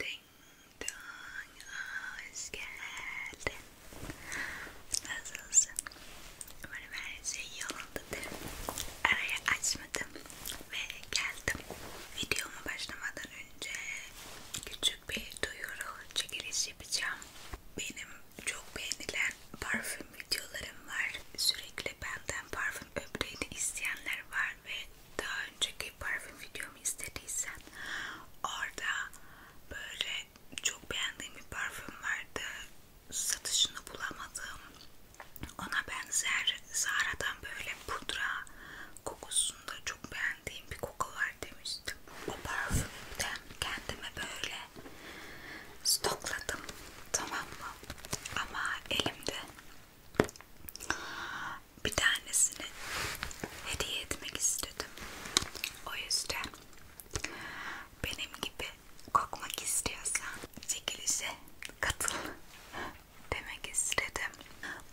Ding dong, hoş geldin. Nasılsın? Umarım her şey yolundadır. Araya açmadım ve geldim. Videoma başlamadan önce küçük bir duyuru çekiliş yapacağım. Benim çok beğenilen parfüm videolarım var. Sürekli benden parfüm öbreğini isteyenler var ve daha önceki bir parfüm videomu istediysen orada böyle çok beğendiğim bir parfüm vardı satışını bulamadım ona benzer Zara'dan böyle pudra kokusunda çok beğendiğim bir koku var demiştim o parfümden kendime böyle stokladım tamam mı ama elimde bir tanesini hediye etmek istedim. O yüzden benim gibi kokmak istiyorsan çekilişe katıl demek istedim.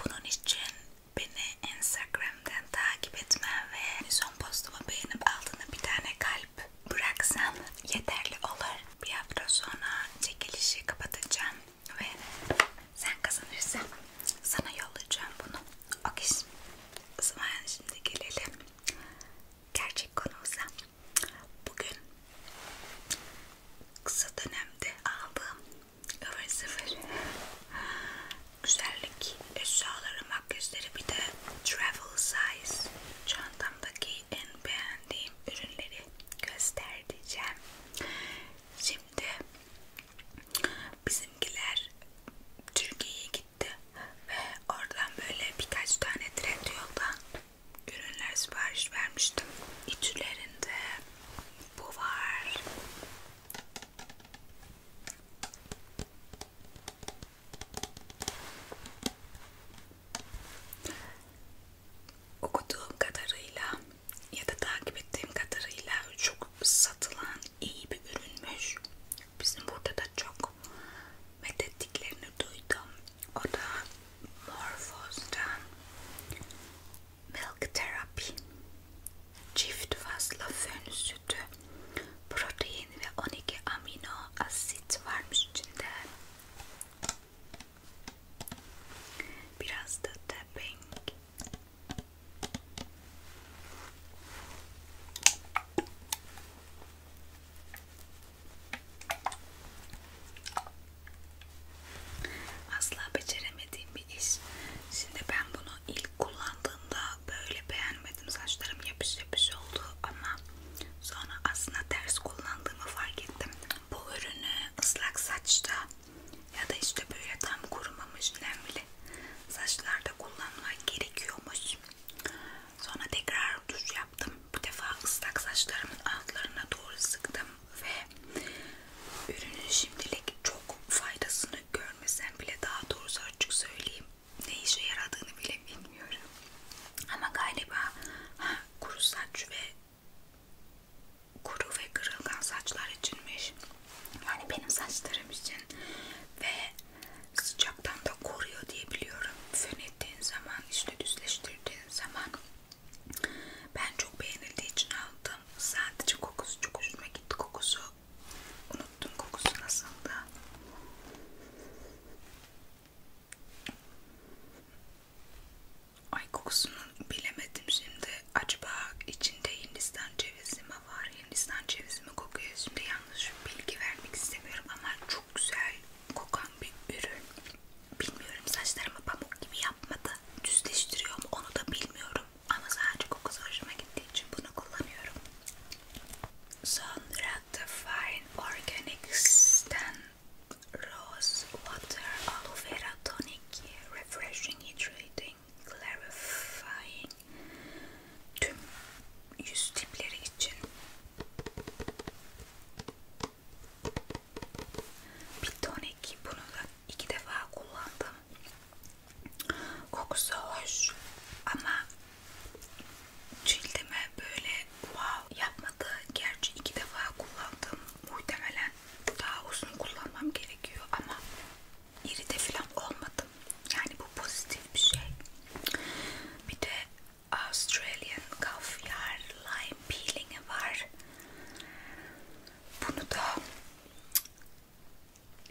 Bunun için beni Instagram'dan takip etmen ve son postumu beğenip altına bir tane kalp bıraksan yeterli olur. Bir hafta sonra çekilişi kapatacağım ve sen kazanırsan sana yollayacağım bunu. Okey. O zaman şimdi gelelim gerçek konumuza. Bugün kısa dönemde aldığım ıvır zıvır güzellik eşyaları, makyajları bir de travel size çantamdaki en beğendiğim ürünleri göstereceğim. Şimdi bizimkiler Türkiye'ye gitti ve oradan böyle birkaç tane Trendyol'dan ürünler sipariş vermiştim. İçlerinde bu var. Okuduğum kadarıyla ya da takip ettiğim kadarıyla çok satılan iyi bir ürünmüş. Bizim burada da çok methettiklerini duydum. O da Morphos'dan Milk Therapy Çift fazla fön sütü Protein ve 12 amino asit varmış içinde. Biraz da tapping Asla beceremediğim bir iş. Şimdi ben bunu ilk kullandığımda böyle beğenmedim. Saçlarım yapış yapış oldu ama sonra aslında ters kullandığımı fark ettim. Bu ürünü ıslak saçta ya da işte böyle tam kurumamış nemli saçlarda kullanmak gerekiyormuş. Sonra tekrar duş yaptım. Bu defa ıslak saçlarımın altlarına doğru sıktım ve ürünün şimdilik çok faydasını görmesem bile daha doğrusu açık söyleyeyim ne işe yaradığını bile bilmiyorum. Ama galiba ha, kuru saç ve kuru ve kırılgan saçlar içinmiş. Yani benim saçlarım için ve sıcaktan da koruyor diye biliyorum. Fön ettiğin zaman, işte düzleştirdiğin zaman ben çok beğenildiği için aldım. Sadece kokusu çok hoşuma gitti. Kokusu unuttum kokusu nasıldı. Ay kokusunu bilemedim şimdi. Acaba içinde Hindistan cevizi mi var? Hindistan cevizi mi kokuyor? Şimdi yanlış bilgi vermek istemiyorum ama çok güzel kokan bir ürün. Bilmiyorum saçlarımı pamuk gibi yapmadı. Düzleştiriyor mu onu da bilmiyorum. Ama sadece kokusu hoşuma gittiği için bunu kullanıyorum. Sonra The Fine Organics'ten Rose Water Aloe Vera Tonic Refreshing Hydrating clearing, clarifying tüm yüz tipleri için bir tonik bunu da iki defa kullandım kokusu hoş ama cildime böyle wow yapmadı gerçi iki defa kullandım muhtemelen daha uzun kullanmam gerekiyor ama iride falan olmadım. Yani bu pozitif bir şey. Bir de Australian Caviar Lime Peeling'i var. Bunu da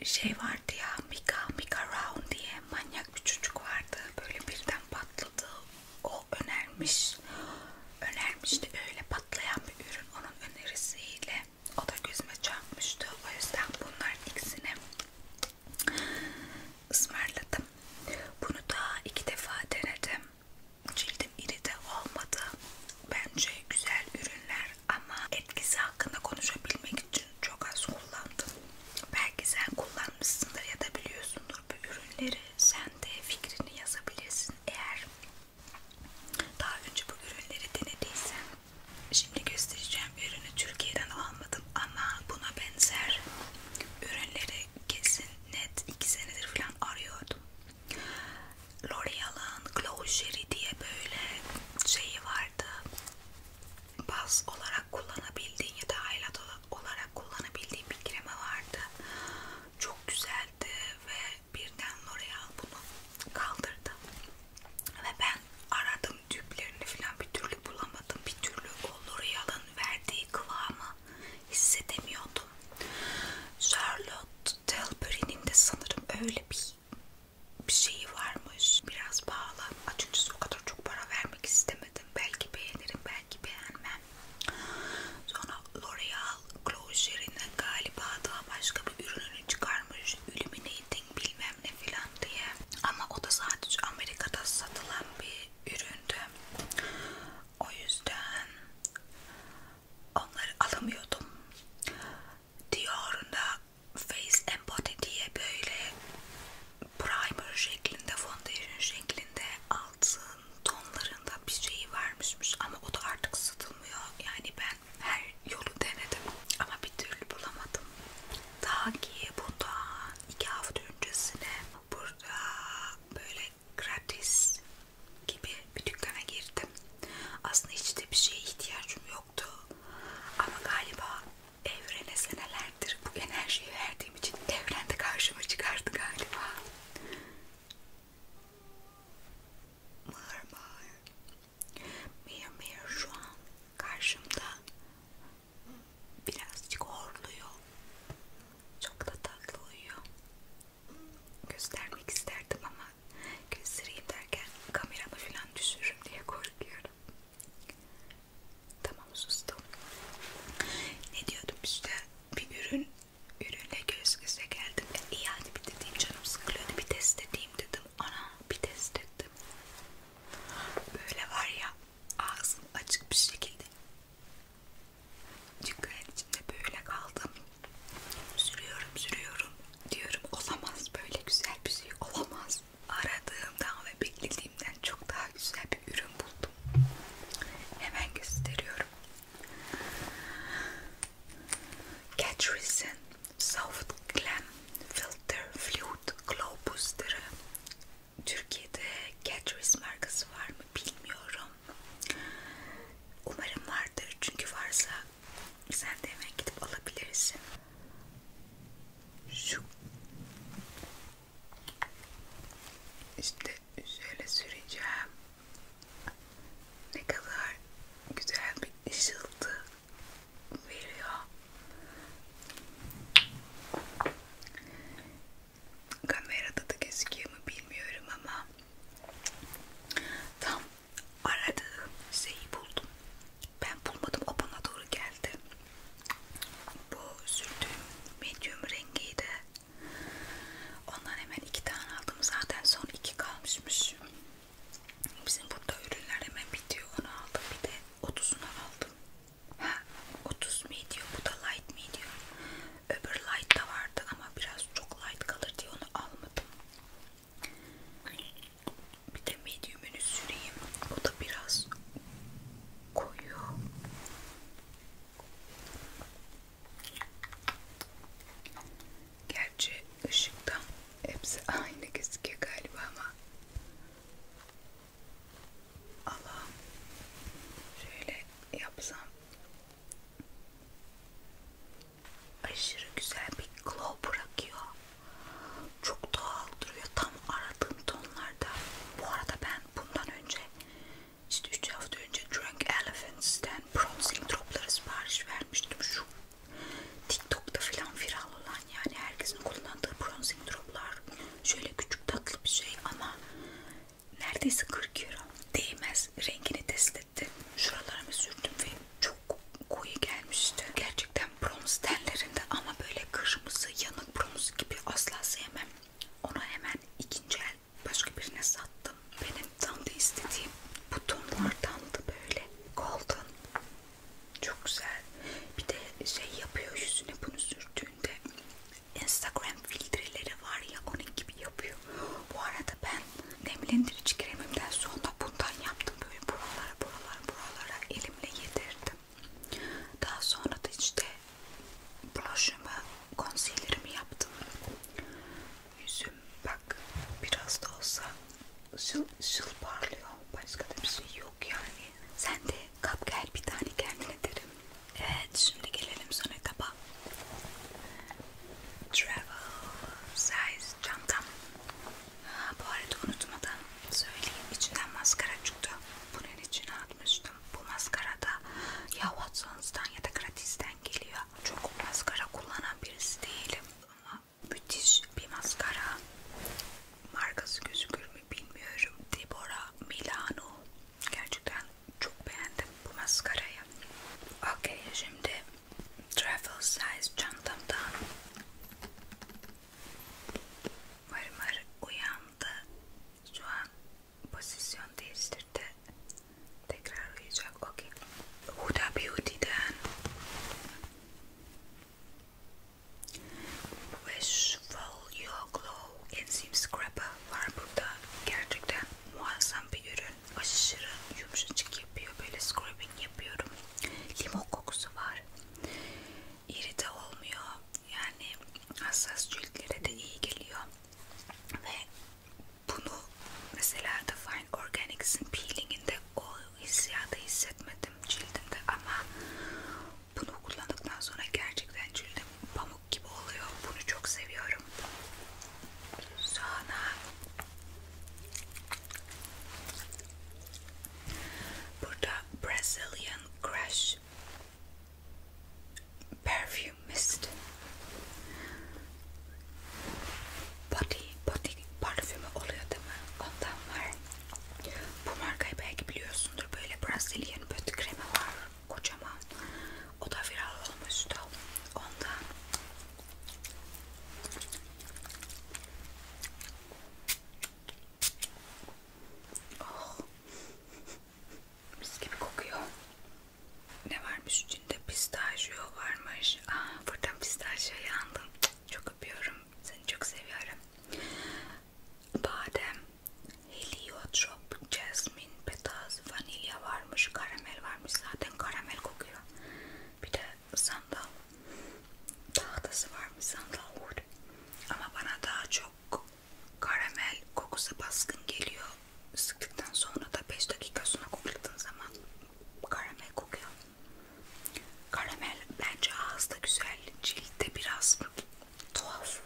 şey vardı ya Mika, Mika Round diye manyak bir çocuk vardı. Böyle birden patladı. O önermiş. Önermişti öyle patlayan bir ürün. Onun önerisiyle o da gözüme çarpmıştı. O yüzden bunların ikisini ısmarladım. Bunu da iki defa denedim. Cildim iri de olmadı. Bence güzel ürünler ama etkisi hakkında konuşabilmek için çok az kullandım. Belki sen kullanmışsındır ya da biliyorsundur bu ürünleri. Sen de fikrini yazabilirsin. Eğer daha önce bu ürünleri denediysen şimdi göstereceğim ürünü Türkiye'den almadım ama buna benzer ürünleri kesin net 2 senedir falan arıyordum. L'Oreal'ın Glow Sherry diye böyle şeyi vardı. Baz olarak kullanabildiğin ya da highlight olarak kullanabildiğin bir krema vardı. Çok güzeldi ve birden L'Oreal bunu kaldırdı ve ben aradım tüplerini falan bir türlü bulamadım bir türlü o L'Oreal'ın verdiği kıvamı hissedemiyordum Charlotte Tilbury'nin de sanırım öyle bir bir şeyi varmış biraz pahalı açıkçası o kadar çok para vermek istemedim belki beğenirim belki beğenmem sonra L'Oreal Kartal Close yerine galiba daha başka bir ürününü çıkarmış Illuminating bilmem ne filan diye ama o da sadece Amerika'da satılan bir üründü o yüzden onları alamıyordum Dior'un da Face and Body diye böyle primer şeklinde foundation şeklinde altın tonlarında bir şeyi vermişmiş ama o da artık satılmıyor yani ben ben her yolu denedim ama bir türlü bulamadım. Daha ki bundan iki hafta öncesine burada böyle gratis gibi bir dükkana girdim. Aslında hiç de bir şeye ihtiyacım yoktu. Ama galiba evrene senelerdir bu enerjiyi verdiğim için evren de karşıma çıkardı galiba. Mır mır Mir Mir şu an karşımda birazcık horluyor. Çok da tatlı uyuyor. Göstermek isterdim ama göstereyim derken kameramı falan düşürürüm diye korkuyorum. Tamam sustum. Ne diyordum işte bir ürün ürünle göz göze geldim. İyi e, hadi bir dediğim canım sıkılıyordu bir test edeyim dedim ana bir test ettim böyle var ya ağzım açık bir şekilde çünkü içinde böyle kaldım sürüyorum sürüyorum diyorum olamaz böyle güzel bir şey olamaz aradığımdan ve beklediğimden çok daha güzel bir ürün buldum hemen gösteriyorum Catrice'in Soft Glam Filter Fluid Glow Booster'ı Türkiye'de Catrice markası var mı bilmiyorum. Umarım vardır. Çünkü varsa sen de hemen gidip alabilirsin. Şu işte şöyle süreceğim. Ne kadar güzel bir ışıltı veriyor. Kamerada da gözüküyor mu bilmiyorum ama tam aradığım şeyi buldum. Ben bulmadım o bana doğru geldi. Bu sürdüğüm medium rengiydi. Ondan hemen iki tane aldım. Zaten son iki kalmışmış. Bizim burada ürünler hemen bitiyor. Onu aldım. Bir de 30'unu aldım. Ha, 30 medium. Bu da light medium. Öbür light da vardı ama biraz çok light kalır diye onu almadım. Bir de medium'ünü süreyim. O da biraz koyu. Gerçi ışıktan hepsi aynı gözüküyor galiba ama Allah'ım şöyle yapsam aşırı güzel bir glow bırakıyor. Çok doğal duruyor. Tam aradığım tonlarda. Bu arada ben bundan önce işte 3 hafta önce Drunk Elephants'ten bronzing dropları sipariş vermiştim. Şu TikTok'ta filan viral olan yani herkesin kullandığı bronzing droplar şöyle küçük tatlı bir şey ama neredeyse 40 euro değmez rengini test ettim şuralarımı sürdüm ve çok koyu gelmişti gerçekten bronz tellerinde ama böyle kırmızı yanık bronz gibi asla sevmem onu hemen ikinci el başka birine sattım benim tam da istediğim bu tonlardan da böyle Golden. Çok güzel. Bir de şey yapıyor yüzüne bunu sürdüğünde Instagram filtreleri var ya onun gibi yapıyor. Bu arada ben nemlendirici kremimden sonra bundan yaptım. Böyle buralara buralara buralara elimle yedirdim. Daha sonra da işte blush'ımı, concealer'ımı yaptım yüzüm bak biraz da olsa şıl şıl parlıyor. Başka da bir şey yok yani. Sen de kap gel bir tane kendine derim. Evet şimdi gelelim sonra kaba. Travel size çantam. Ha, bu arada unutmadan söyleyeyim içinden maskara çıktı. Bunun içine atmıştım. Bu maskara da ya Watsons'tan ya da gratisten geliyor. Çok maskara kullanan birisi değilim ama müthiş bir maskara markası gözükür mü bilmiyorum Deborah Milano gerçekten çok beğendim bu maskarayı okey şimdi travel size çantamdan Marmar uyandı şu an pozisyon değiştirdi tekrar uyuyacak okey Huda Beauty'den Wish Full Your Glow Enzim Scrubber var burada. Gerçekten muazzam bir ürün. Aşırı yumuşacık yapıyor. Böyle scrubbing yapıyorum. Limon kokusu var. İrite olmuyor. Yani hassas ciltlere de iyi geliyor. Ve bunu mesela da Fine Organics'in peelinginde o hissiyatı hissetmedim cildimde ama bunu kullandıktan sonra gerçekten cildim pamuk gibi oluyor. Bunu çok seviyorum. Sonra burada Brazilian Crush Perfume Mist body body parfümü oluyor değil mi? Ondan var. Bu markayı belki biliyorsundur. Böyle Brazilian body kremi var. Kocaman. O da viral olmuştu. Ondan. Oh. Mis gibi kokuyor. Ne varmış içinde? Pistachio varmış. Aa, buradan pistachio yandım. Çok çok öpüyorum. Seni çok seviyorum. Badem, heliotrop, jasmin, petaz, vanilya varmış, karamel varmış. Zaten karamel kokuyor. Bir de sandal tahtası varmış, sandal wood. Ama bana daha çok karamel kokusu baskın geliyor. Sıktıktan sonra da 5 dakika sonra kokladığın zaman karamel kokuyor. Karamel bence ağızda güzel, ciltte biraz tuhaf.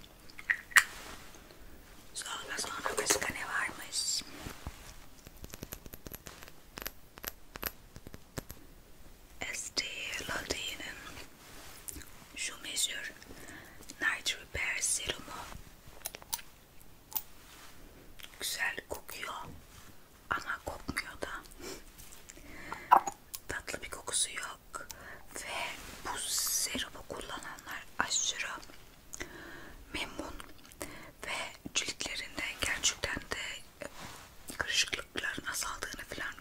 Sonra sonra başka ne varmış? Estee Lauder'in şu meşhur Night Repair Serumu güzel kokuyor ama kokmuyor da tatlı bir kokusu yok ve bu serumu kullananlar aşırı memnun ve ciltlerinde gerçekten de e, kırışıklıkların azaldığını falan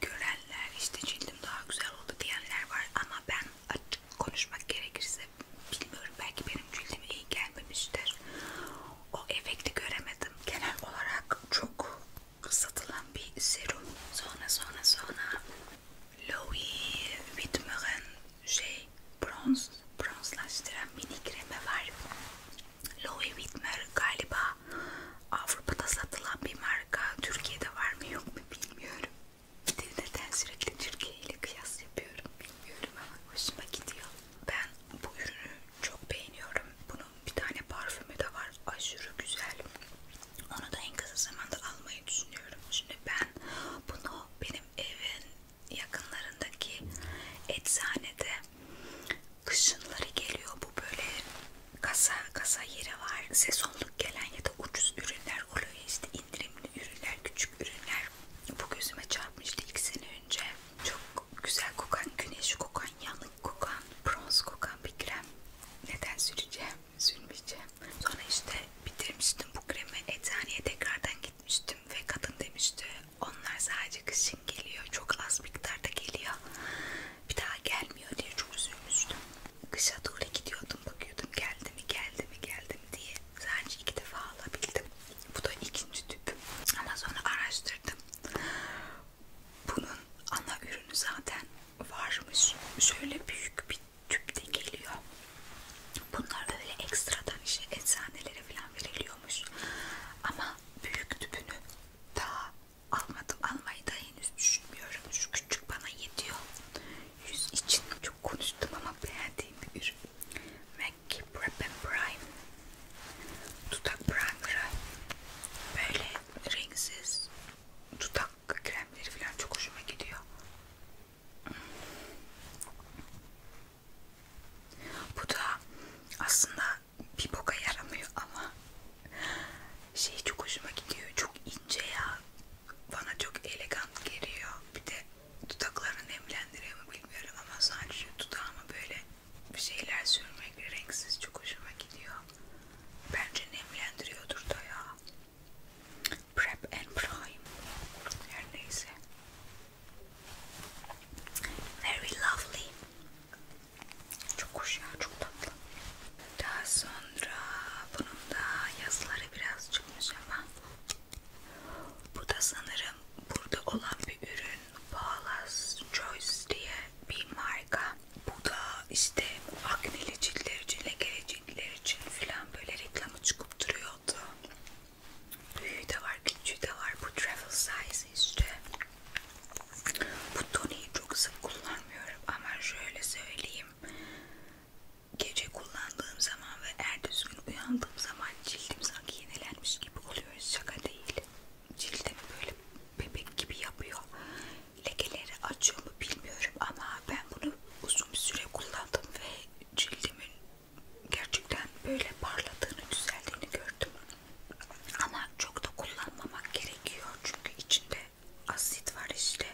görenler işte cildim daha güzel oldu diyenler var ama ben açık konuşmak gerekirse bilmiyorum belki benim cildime iyi gelmemiştir o efekti göremedim. Genel olarak çok satılan bir serum. Sonra sonra sonra Louis Vuitton şey bronz bronzlaştıran mini kremi var. Louis Vuitton galiba Avrupa'da satılan bir marka. Türkiye'de var mı yok mu bilmiyorum. Bir neden sürekli Türkiye ile kıyas yapıyorum bilmiyorum ama hoşuma gidiyor. Ben bu ürünü çok beğeniyorum. Bunun bir tane parfümü de var. Aşırı güzel. Onu da en kısa zamanda almayı düşünüyorum. Şimdi ben bunu benim evin yakınlarındaki eczanede kışınları geliyor. Bu böyle kasa kasa yeri var. Sezonluk gelen ya da ucuz ürünler oluyor. İşte indirimli ürünler, küçük ürünler. Bu gözüme çarpmıştı iki sene önce. Çok güzel kokan, güneş kokan, yanık kokan, bronz kokan bir krem. Neden süreceğim? Sürmeyeceğim. Sonra işte bitirmiştim bu kremi. Eczaneye tekrardan gitmiştim ve kadın demişti onlar sadece kışın geliyor. Çok az miktarda geliyor. Bir daha gelmiyor diye çok üzülmüştüm. Kışa doğru gidiyordum bakıyordum geldi mi geldi mi geldi mi diye. Sadece iki defa alabildim. Bu da ikinci tüp. Ama sonra araştırdım. Bunun ana ürünü zaten varmış. Şöyle büyük bir tüp de geliyor. Bunlar öyle ekstradan işte eczanelere falan veriliyormuş. Ama büyük tüpünü daha almadım. Almayı da henüz düşünmüyorum. Şu küçük bana yetiyor. Yüz için çok konuştum ama beğendiğim bir ürün MAC Prep and Prime dudak primer'ı böyle renksiz dudak kremleri falan çok hoşuma gidiyor. Bu da aslında bir boka yaramıyor ama şey çok hoşuma gidiyor. Çok ince ya. Bana çok elegan geliyor. Bir de dudaklarını nemlendiriyor mu bilmiyorum ama sadece dudağımı böyle bir şeyler sürmek renksiz çok hoşuma gidiyor. Bence nemlendiriyordur da ya. Prep and prime. Her neyse. Very lovely. Çok hoş ya, çok tatlı. Daha sonra bunun da yazıları biraz çıkmış ama bu da sanırım burada olan bir ürün Paula's Choice diye bir marka. Bu da işte akneli ciltler için, lekeli ciltler için filan böyle reklamı çıkıp duruyordu. Büyüğü de var, küçüğü de var. Bu travel size işte. Bu toniği çok sık kullanmıyorum ama şöyle söyleyeyim. Gece kullandığım zaman ve ertesi gün uyandığım zaman cildim sanki yenilenmiş gibi oluyor. Şaka değil cildim böyle bebek gibi yapıyor. Lekeleri açıyor mu bilmiyorum ama ben bunu uzun bir süre kullandım ve cildimin gerçekten böyle parladığını, düzeldiğini gördüm. Ama çok da kullanmamak gerekiyor çünkü içinde asit var işte.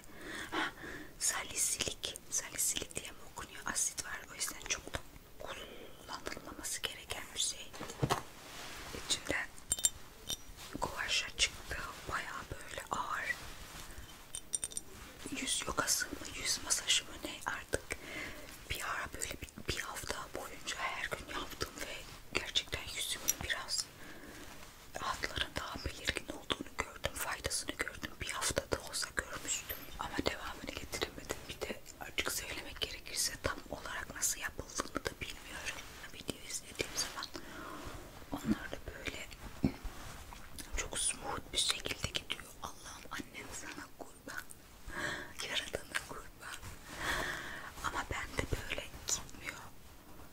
Ha, salisilik, salisilik diye mi okunuyor? Asit var o yüzden çok da kullanılmaması gereken bir şey. İçinden kuvaşa çıktı. Baya böyle ağır. Yüz yogası mı, yüz masajı mı ne artık bir ara böyle bir, bir hafta boyunca her gün yaptım ve gerçekten yüzümün biraz hatların daha belirgin olduğunu gördüm. Faydasını gördüm. Bir haftada olsa görmüştüm ama devamını getiremedim. Bir de Açık söylemek gerekirse tam olarak nasıl yapıldığını da bilmiyorum. Video izlediğim zaman onlar da böyle çok smooth bir şekilde gidiyor. Allah'ım annem sana kurban. Yaradana kurban. Ama bende böyle gitmiyor.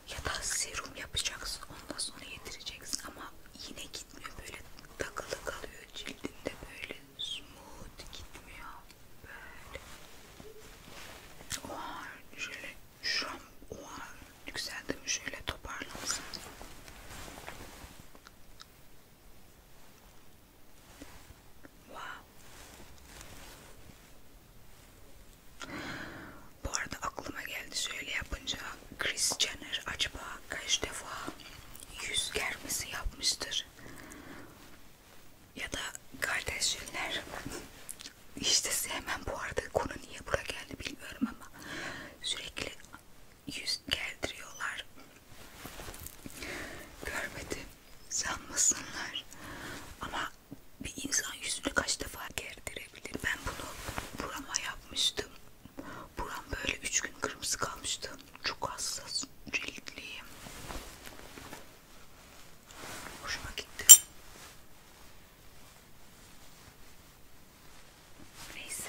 Ya da serum yapacaksın ondan sonra yedireceksin ama yine gitmiyor böyle takılı kalıyor cildinde böyle smooth gitmiyor böyle. Oha şöyle şu an oha yükseldim şöyle toparlansın. Wow. Bu arada aklıma geldi şöyle yapınca Kris Jenner acaba kaç defa yüz germesi yapmıştır? ya da kardeşler işte sevmem bu arada konu niye buraya geldi bilmiyorum ama sürekli yüz geldiriyorlar görmedim sanmasınlar ama bir insan yüzünü kaç defa gerdirebilir ben bunu burama yapmıştım buram böyle üç gün kırmızı kalmıştı çok hassas, ciltliyim. Hoşuma gitti. Neyse.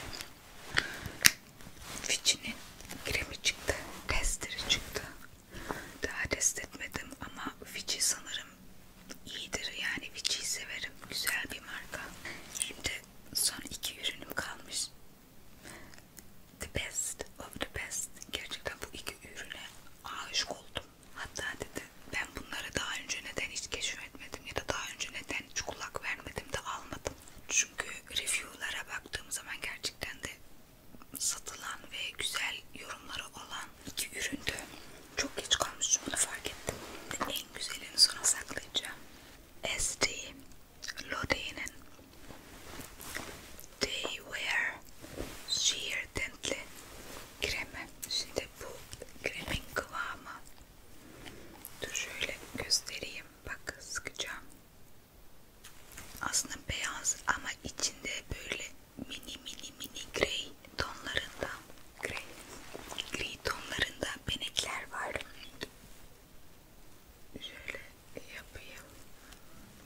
Fitch'in kremi çıktı. Testleri çıktı. Daha test etmedim ama Fitch'i sanırım iyidir. Yani Fitch'i severim. Güzel bir marka. Şimdi son iki ürünüm kalmış. The best of the best. Gerçekten bu iki ürüne aşık oldum. Hatta dedi ben bunları daha önce neden hiç keşfetmedim ya da daha önce neden hiç kulak vermedim de almadım. Çünkü review'lara baktığım zaman gerçekten de satılan ve güzel yorumları olan iki üründü. Çok geç kalmışım bunu fark ettim. En güzelini sona saklayacağım. SD Lodein'in They were sheer dentli kremi. Şimdi bu kremin kıvamı. Dur şöyle göstereyim. Bak sıkacağım. Aslında beyaz ama içinde böyle mini mini mini grey tonlarında grey, grey tonlarında benekler var. Şöyle yapayım.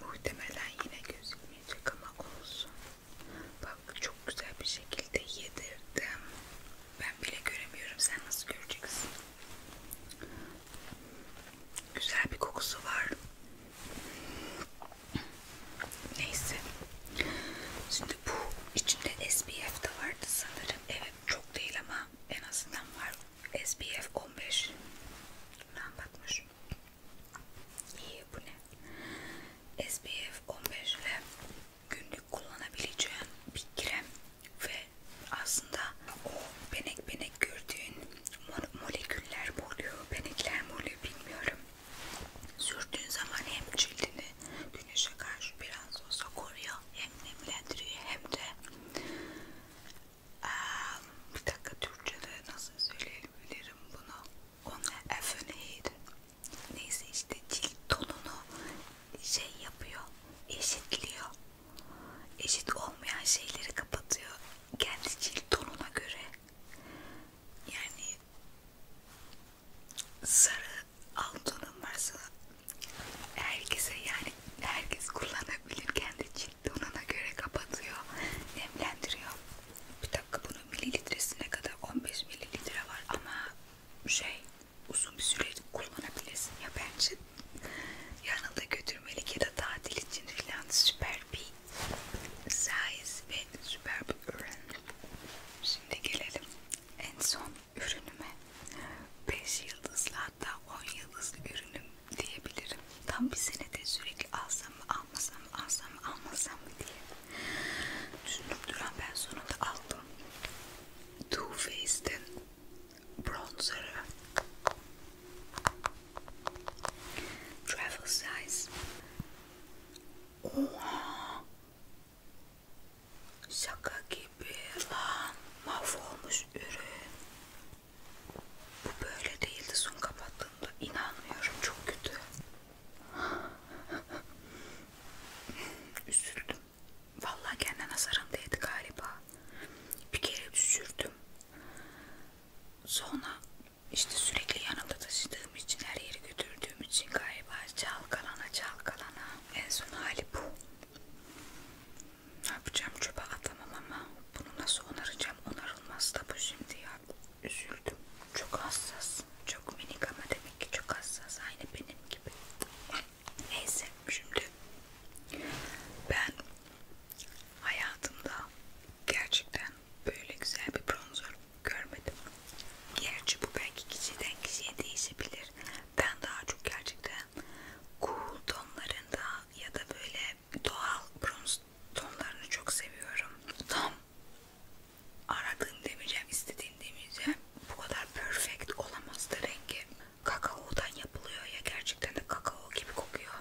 Muhtemelen yine gözükmeyecek ama olsun. Bak çok güzel bir şekilde yedirdim. Ben bile göremiyorum. Sen nasıl göreceksin? Güzel bir kokusu var. Neyse. Şimdi bu içinde SPF de vardı sanırım. Evet çok değil ama en azından var. SPF 15 üstünden bakmış. İyi bu ne? SPF 15 ile günlük kullanabileceğim bir krem ve aslında o benek benek gördüğün moleküller mi oluyor, benekler mi oluyor bilmiyorum. Sürdüğün zaman hem cildini güneşe karşı biraz olsa koruyor, hem nemlendiriyor hem de bir dakika Türkçe'de nasıl söyleyebilirim bunu? Onu efeneydi. Neyse işte cilt tonunu şey yapıyor, eşitliyor. Eşit olmayan şeyleri kapatıyor. Kendi cilt tonuna göre. Yani sarı alt tonun varsa herkese yani herkes kullanabilir kendi cilt kilitli olana göre kapatıyor, nemlendiriyor. Bir dakika bunun mililitresine kadar 15 mililitre var ama şey uzun bir süre kullanabilirsin ya bence yanında götürmelik ya da tatil için filan süper bir size ve süper bir ürün. Şimdi gelelim en son ürünüme. 5 yıldızlı hatta 10 yıldızlı ürünüm diyebilirim. Tam bir senede sürekli alsam mı almasam mı alsam mı almasam mı diye düşünüp duran ben sonunda aldım. Too Faced'in bronzer'ı. Travel size. Oha! Şaka gibi lan. Mahvolmuş ürün. Bu böyle değildi son kapattığımda. İnanmıyorum çok kötü. Üzüldüm. Vallahi kendine nazarım değdi galiba. Bir kere düşürdüm. Sonra işte sürekli yanımda taşıdığım için her yere götürdüğüm için galiba çalkalana çalkalana en son hali bu. Ne yapacağım çöpe atamam ama bunu nasıl onaracağım? Cam onarılmaz da bu şimdi ya. Üzüldüm. Çok hassas. Çok minik ama demek ki çok hassas. Aynı benim gibi. Neyse şimdi ben hayatımda gerçekten böyle güzel bir bronzer görmedim. Gerçi bu belki kişiden kişiye değişebilir. Ben daha çok gerçekten cool tonlarında ya da böyle doğal bronz tonlarını çok seviyorum. Tam aradığım demeyeceğim, istediğim demeyeceğim. Bu kadar perfect olamazdı rengi. Kakaodan yapılıyor ya gerçekten de kakao gibi kokuyor.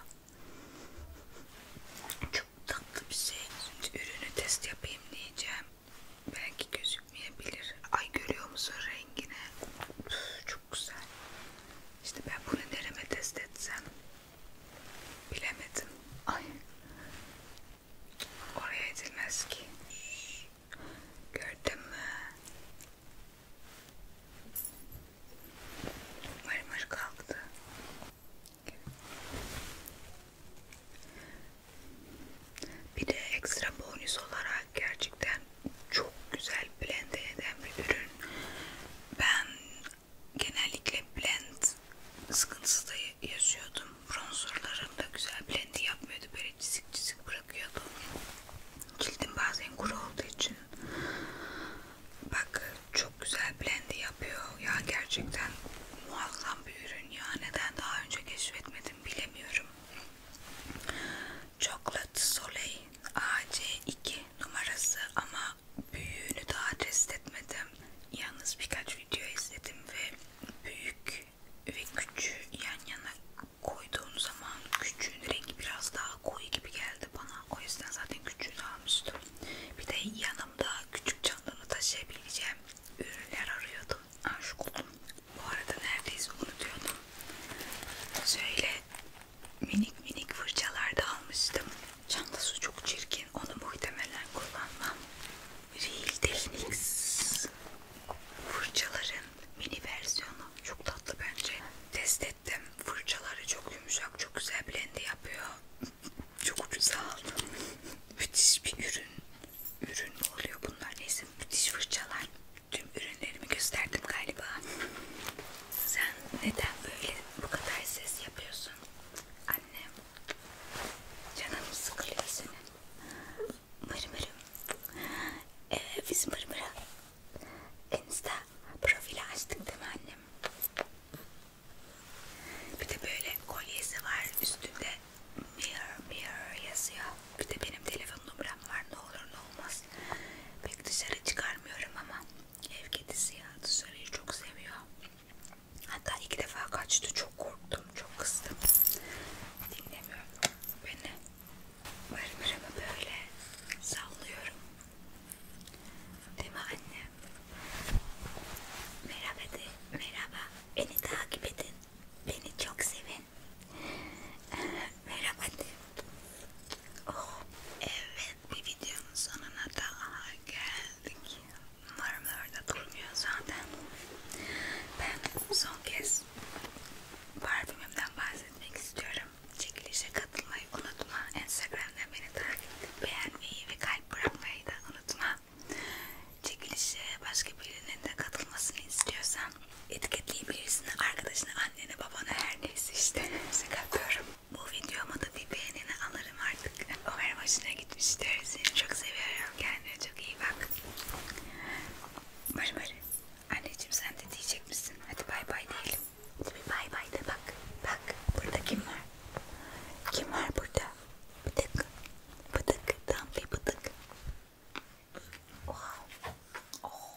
Çok tatlı bir şey. Şimdi ürünü test yapayım diyeceğim. Belki gözükmeyebilir. Ay görüyor musun rengini? Çok güzel. İşte ben bunu derime test etsem Bilemedim. Ay. Oraya edilmez ki. Şş. Gördün mü? Mır mır kalktı. Bir de ekstra bonus olarak gerçekten çok güzel blend eden bir ürün. Ben genellikle blend sıkıntısı da yaşıyordum. Bronzerlarım da güzel blendi yapmıyordu. Böyle çizik çizik bırakıyordu. Cildim bazen kuru olduğu için. Bak çok güzel blendi yapıyor. Ya gerçekten muazzam bir ürün ya. Neden daha önce keşfetmedim bilemiyorum. Chocolate Soleil AC2 numarası ama büyüğünü daha test etmedim. Yalnız birkaç video izledim ve büyük ve küçüğü yan yana koyduğum zaman küçüğün rengi biraz daha koyu gibi geldi bana. O yüzden zaten küçüğünü almıştım. Bir de yanımda küçük çantamı taşıyabileceğim ürünler arıyordum. Aşık oldum. Bu arada neredeyse unutuyordum. Şöyle minik minik fırçalar da almıştım. Çantası çok çirkin. Onu muhtemelen kullanmam. Real Techniques fırçaların mini versiyonu. Çok tatlı bence. Test ettim. Fırçaları çok yumuşak. Çok güzel blend yapıyor. Çok ucuza aldım. Müthiş bir ürün. Ürün mü oluyor bunlar? Neyse müthiş fırçalar. Tüm ürünlerimi gösterdim galiba. Sen neden böyle bu kadar ses yapıyorsun? Annem canım sıkılıyor senin. Mırmırım. Ee, biz mırmıra Insta profili açtık değil mi annem? Bir de böyle kolyesi var üstünde mirror mirror yazıyor. Bir de benim telefon numaram var ne olur ne olmaz. Pek dışarı çıkarmıyorum ama Ev kedisi ya dışarıyı çok seviyor. Hatta iki defa kaçtı. Çok korktum. Çok kızdım. Dinlemiyor beni. Mırmırımı böyle sallıyorum. Değil mi anne? Merhaba de. Merhaba. Beni takip edin. Beni çok sevin. Merhaba de. Oh, evet bir videonun sonuna daha geldik. Umarım orada durmuyor zaten. Ben son kez parfümümden bahsetmek istiyorum. Çekilişe katılmayı unutma. Instagram'dan beni takip edip beğenmeyi ve kalp bırakmayı da unutma. Çekilişe başka birinin de katılmasını istiyorsan etiketleyebilirsin. Arkadaşını, annene, babana her neyse işte. Şaka yapıyorum. Bu videoma da bir beğenini alırım artık. Umarım hoşuna gitmiştir. Seni çok seviyorum. Kendine çok iyi bak. Barı barı. Anneciğim sen de diyecek misin? Hadi bay bay diyelim. Hadi bir bay bay de bak. Bak burada kim var? Kim var burada? Bıdık. Bıdık. Tam bir bıdık. Oh. Oh.